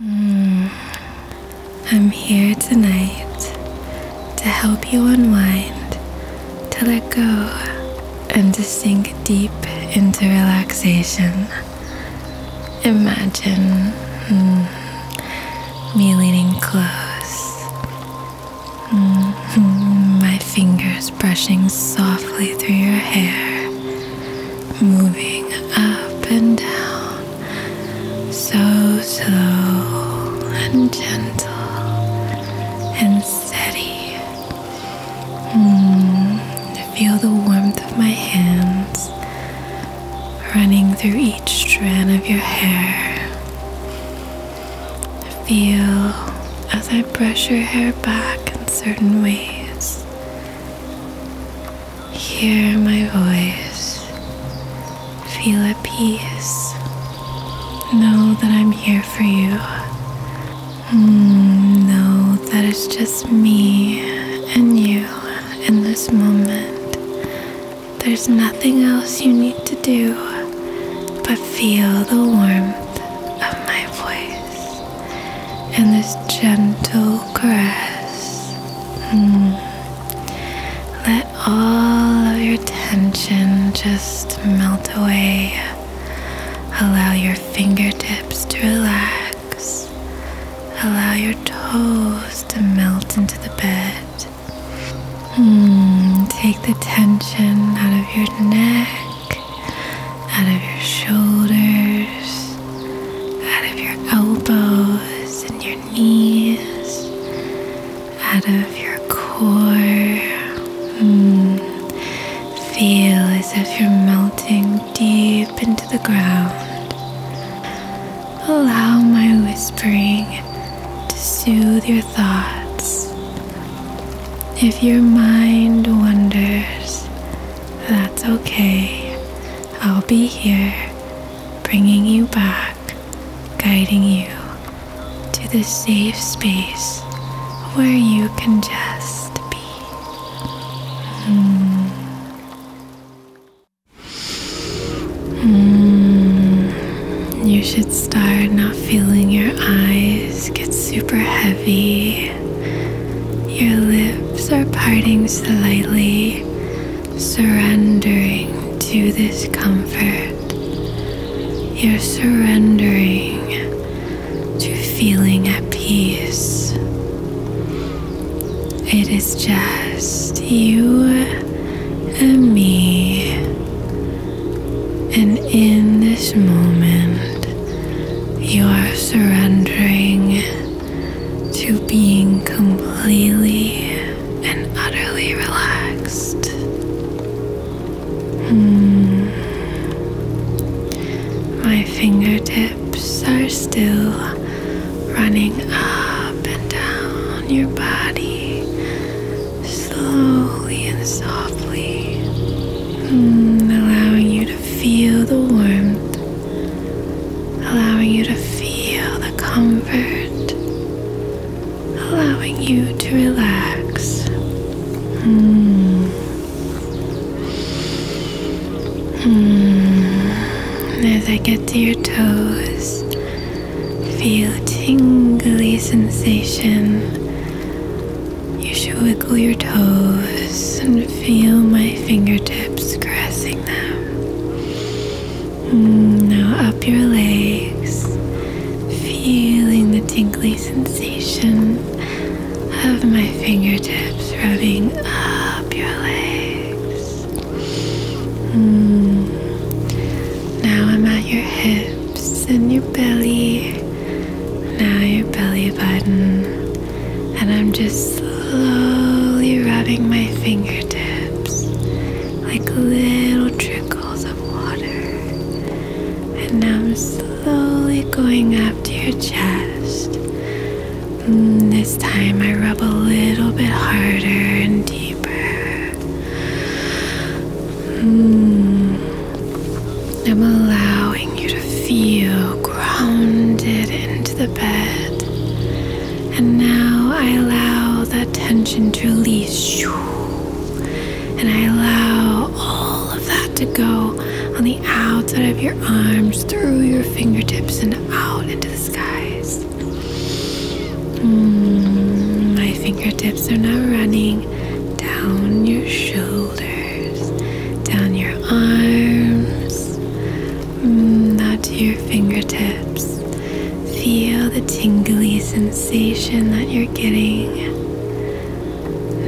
Hmm. I'm here tonight to help you unwind, to let go, and to sink deep into relaxation. Imagine hmm, me leaning close, hmm. my fingers brushing softly through your hair, moving up and down so slow and gentle and steady. Mm, feel the warmth of my hands running through each strand of your hair. Feel as I brush your hair back in certain ways. Hear my voice. Feel at peace. Know that I'm here for you. Mm, know that it's just me and you in this moment. There's nothing else you need to do but feel the warmth of my voice and this gentle caress. Mm. Let all of your tension just melt away. Allow your fingertips to relax. Allow your toes to melt into the bed. Mm. Take the tension out of your neck, out of your shoulders out of your elbows and your knees, out of your core. Hmm. Feel as if you're melting deep into the ground. Allow my whispering to soothe your thoughts. If your mind wanders, that's okay. I'll be here bringing you back, guiding you to the safe space where you can just be. Hmm. Hmm. You should start not feeling your eyes get super heavy. Your lips are parting slightly surrendering to this comfort. You're surrendering to feeling at peace. It is just you and me. And in this moment, you are surrendering to being completely and utterly relaxed. Hmm. My fingertips are still running up and down your body slowly and softly, hmm, allowing you to feel the warmth, allowing you to feel the comfort, allowing you to relax. Mm. Mm. As I get to your toes, feel a tingly sensation. You should wiggle your toes and feel my fingertips caressing Mm, now up your legs, feeling the tingly sensation of my fingertips rubbing up your legs. Mm. Now I'm at your hips and your belly. Now your belly button and I'm just slowly rubbing my fingertips like little trickles of water. And now I'm slowly going up to your chest. Mm, this time I rub a little bit harder and deeper. Mm. I'm allowing you to feel grounded into the bed. And now I allow that tension to release. And I allow all of that to go on the outside of your arms, through your fingertips, and out into the skies. Mm, my fingertips are now running down your shoulders, down your arms, Mm, now to your fingertips. Feel the tingly sensation that you're getting.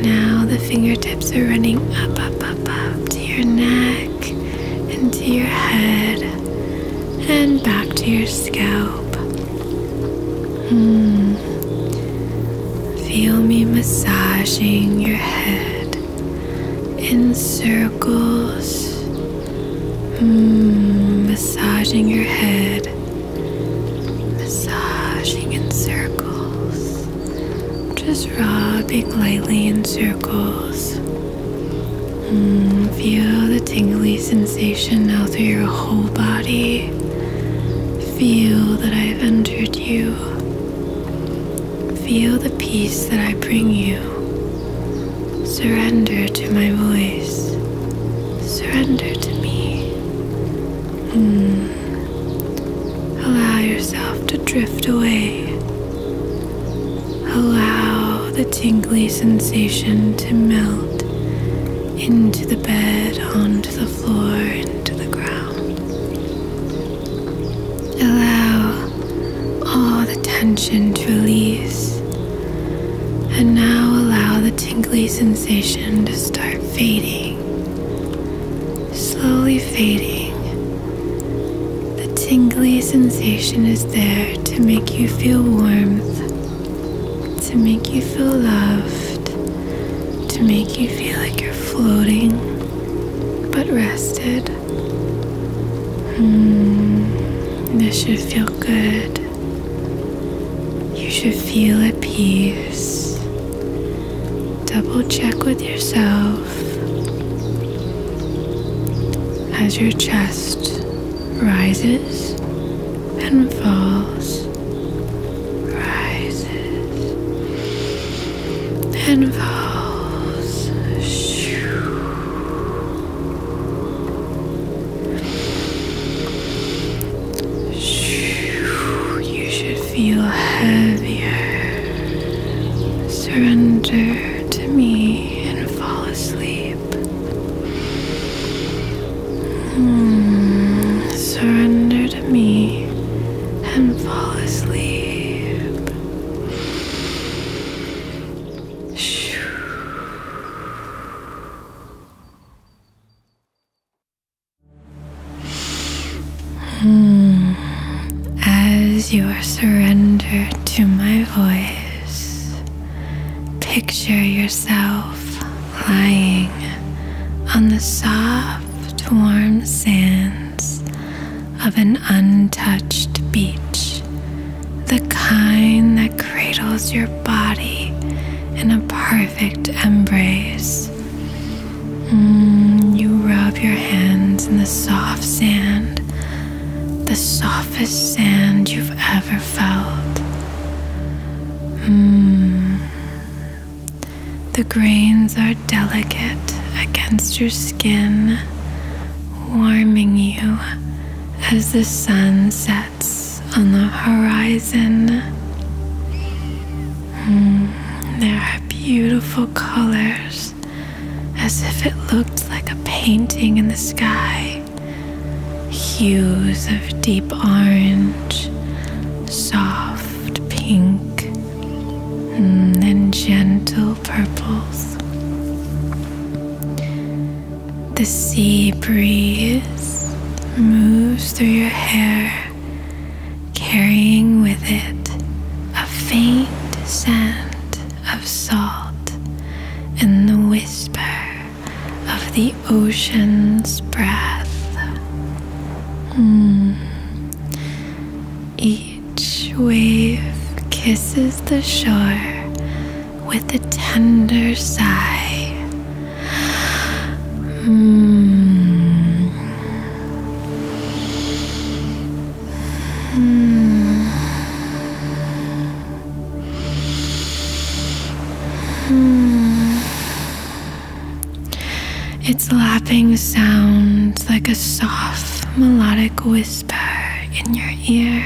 Now the fingertips are running up, up, up, up to your neck into your head and back to your scalp. Mm. Feel me massaging your head in circles, mm, massaging your head, massaging in circles, just rubbing lightly in circles. Mm, feel the tingly sensation now through your whole body. Feel that I've entered you. Feel the peace that I bring you. Surrender to my voice. Surrender to me. Mm. Allow yourself to drift away. Allow the tingly sensation to melt into the bed, onto the floor, into the ground. Allow all the tension to release. And now allow the tingly sensation to start fading, slowly fading. The tingly sensation is there to make you feel warmth, to make you feel loved, to make you feel like you're floating but rested. Mm, this should feel good. You should feel at peace. Double check with yourself as your chest rises and falls, rises and falls. Shoo. You should feel heavier. Surrender to me and fall asleep. Mm, surrender to me and fall asleep. Hmm. As you are surrendered to my voice, picture yourself lying on the soft, warm sands of an untouched beach, the kind that cradles your body in a perfect embrace. Mm, you rub your hands in the soft sand, the softest sand you've ever felt. Mm. The grains are delicate against your skin, warming you as the sun sets on the horizon. Hmm, there are beautiful colors as if it looked like a painting in the sky. Hues of deep orange, soft pink, hmm, and then gentle purples. The sea breeze moves through your hair, carrying with it a faint scent of salt and the whisper of the ocean's breath. Hmm. Each wave kisses the shore with a tender sigh. Its lapping sounds like a soft melodic wave whisper in your ear.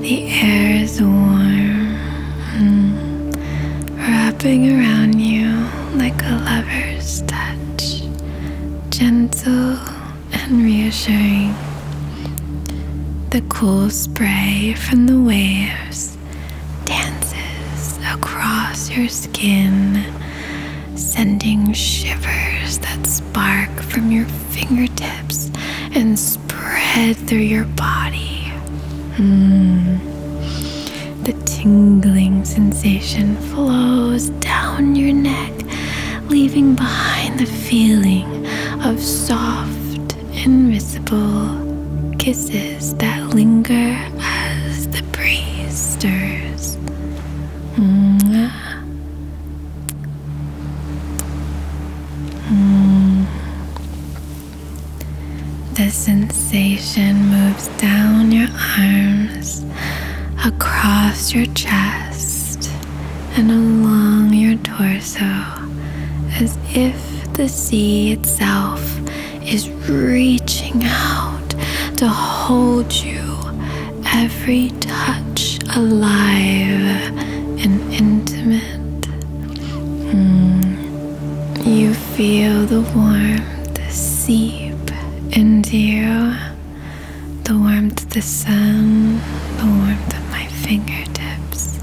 The air is warm wrapping around you like a lover's touch, gentle and reassuring. The cool spray from the waves dances across your skin, sending shivers that spark from your fingertips and spread through your body. Mm. The tingling sensation flows down your neck, leaving behind the feeling of soft invisible kisses that linger as the breeze stirs. The sensation moves down your arms, across your chest, and along your torso as if the sea itself is reaching out to hold you, every touch alive and intimate. Mm. You feel the warmth seep into you, the warmth of the sun, the warmth of my fingertips,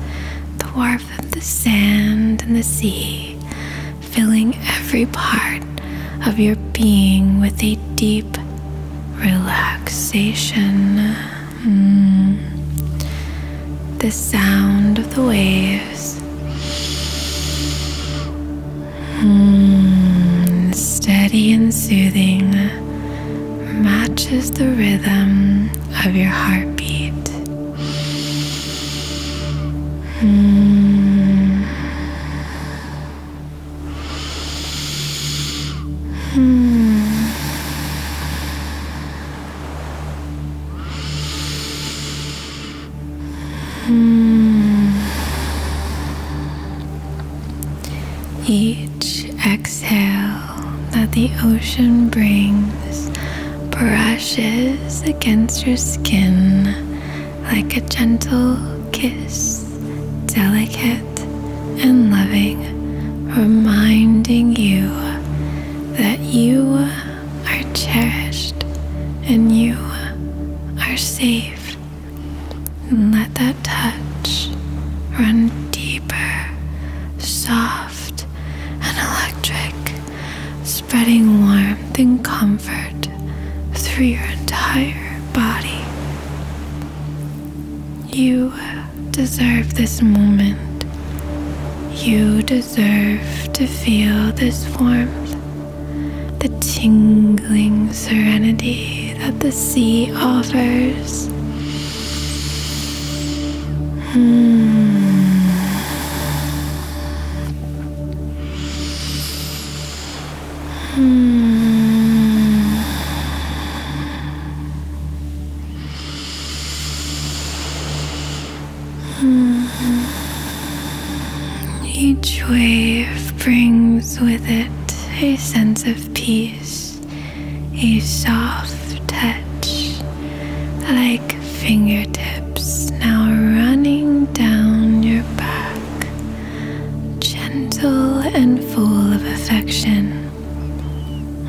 the warmth of the sand and the sea, filling every part of your being with a deep relaxation. Mm. The sound of the waves focus. Hmm, steady and soothing matches the rhythm of your heartbeat. Hmm. Hmm. Hmm. Each exhale that the ocean brings brushes against your skin like a gentle kiss, delicate and loving, reminding you that you are cherished and you are safe. And let that touch run deeper, soft, and electric, spreading warmth and comfort through your entire body. You deserve this moment. You to feel this warmth, the tingling serenity that the sea offers. Hmm. Hmm. Hmm. Each wave brings with it a sense of peace, a soft touch, like fingertips now running down your back, gentle and full of affection.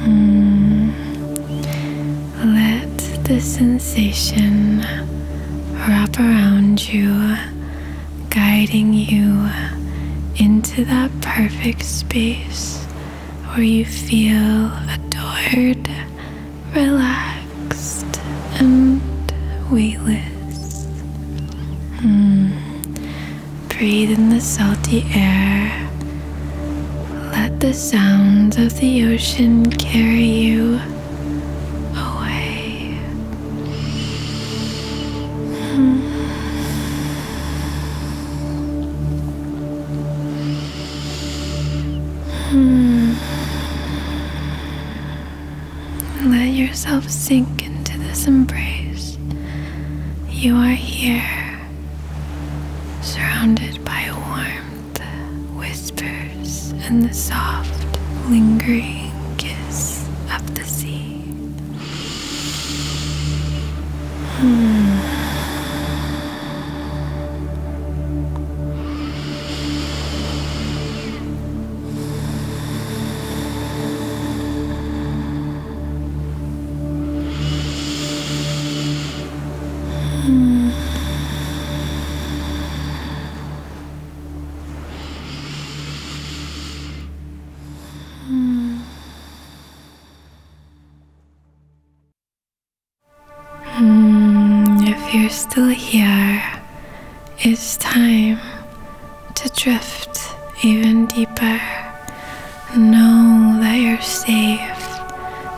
Hmm. Let the sensation wrap around you, guiding you into that perfect space where you feel adored, relaxed, and weightless. Mm. Breathe in the salty air. Let the sounds of the ocean carry you away. Hmm. Let yourself sink into this embrace. You are here, surrounded by warmth whispers and the soft, lingering kiss of the sea. Hmm. Hmm. Hmm, if you're still here, it's time to drift even deeper. Know that you're safe,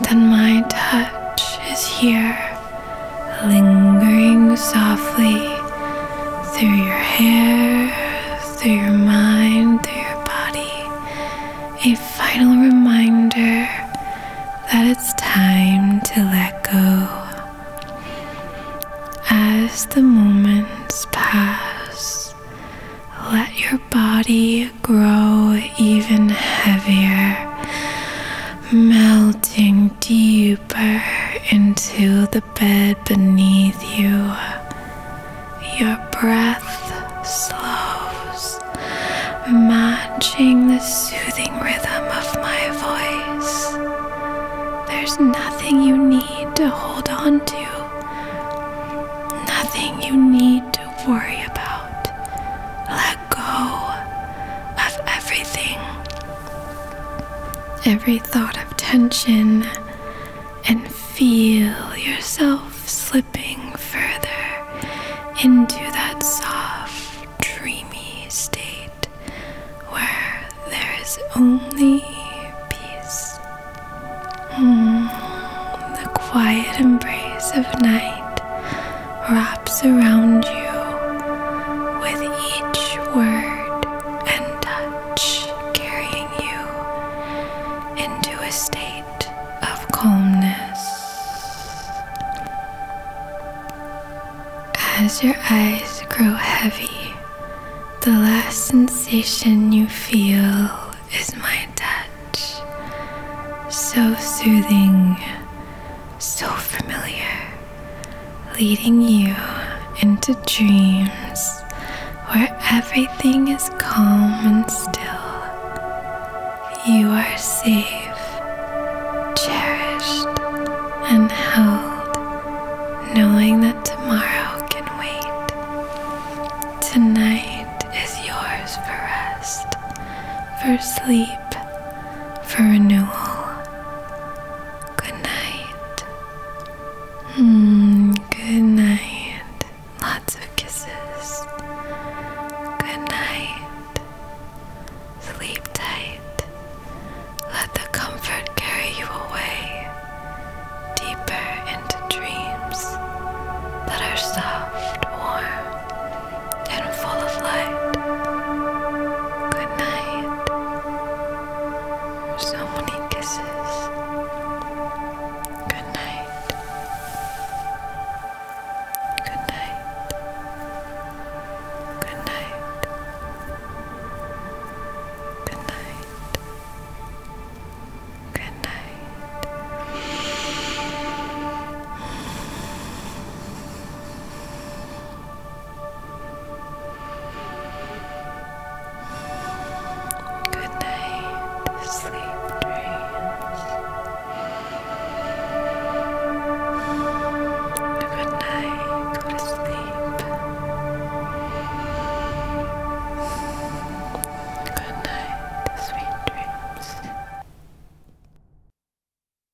that my touch is here lingering softly through your hair, through your mind, through your body. A final reminder that it's time to let go. As the moments pass, let your body grow even heavier melting deeper into the bed beneath you. Your breath slows, matching the soothing rhythm of my voice. There's nothing you need to hold on to, nothing you need to worry about go of everything. Every thought of tension, and feel yourself slipping further into that soft, dreamy state where there is only peace. Mm, the quiet embrace of night wraps around you with each word and touch, carrying you into a state of calmness. As your eyes grow heavy, the last sensation you feel is my touch. So soothing, so familiar leading you into dreams where everything is calm and still. You are safe, cherished, and held, knowing that tomorrow can wait. Tonight is yours for rest, for sleep, for renewal. Good night. Mm, good night. Lots of kisses. Good night. Sleep tight. Let the comfort carry you away deeper into dreams that are soft, warm, and full of light. Good night. So many kisses. Good night. Good night. Good night. Good night. Good night. Good night, sleep dreams. Good night, go to sleep. Good night, sweet dreams.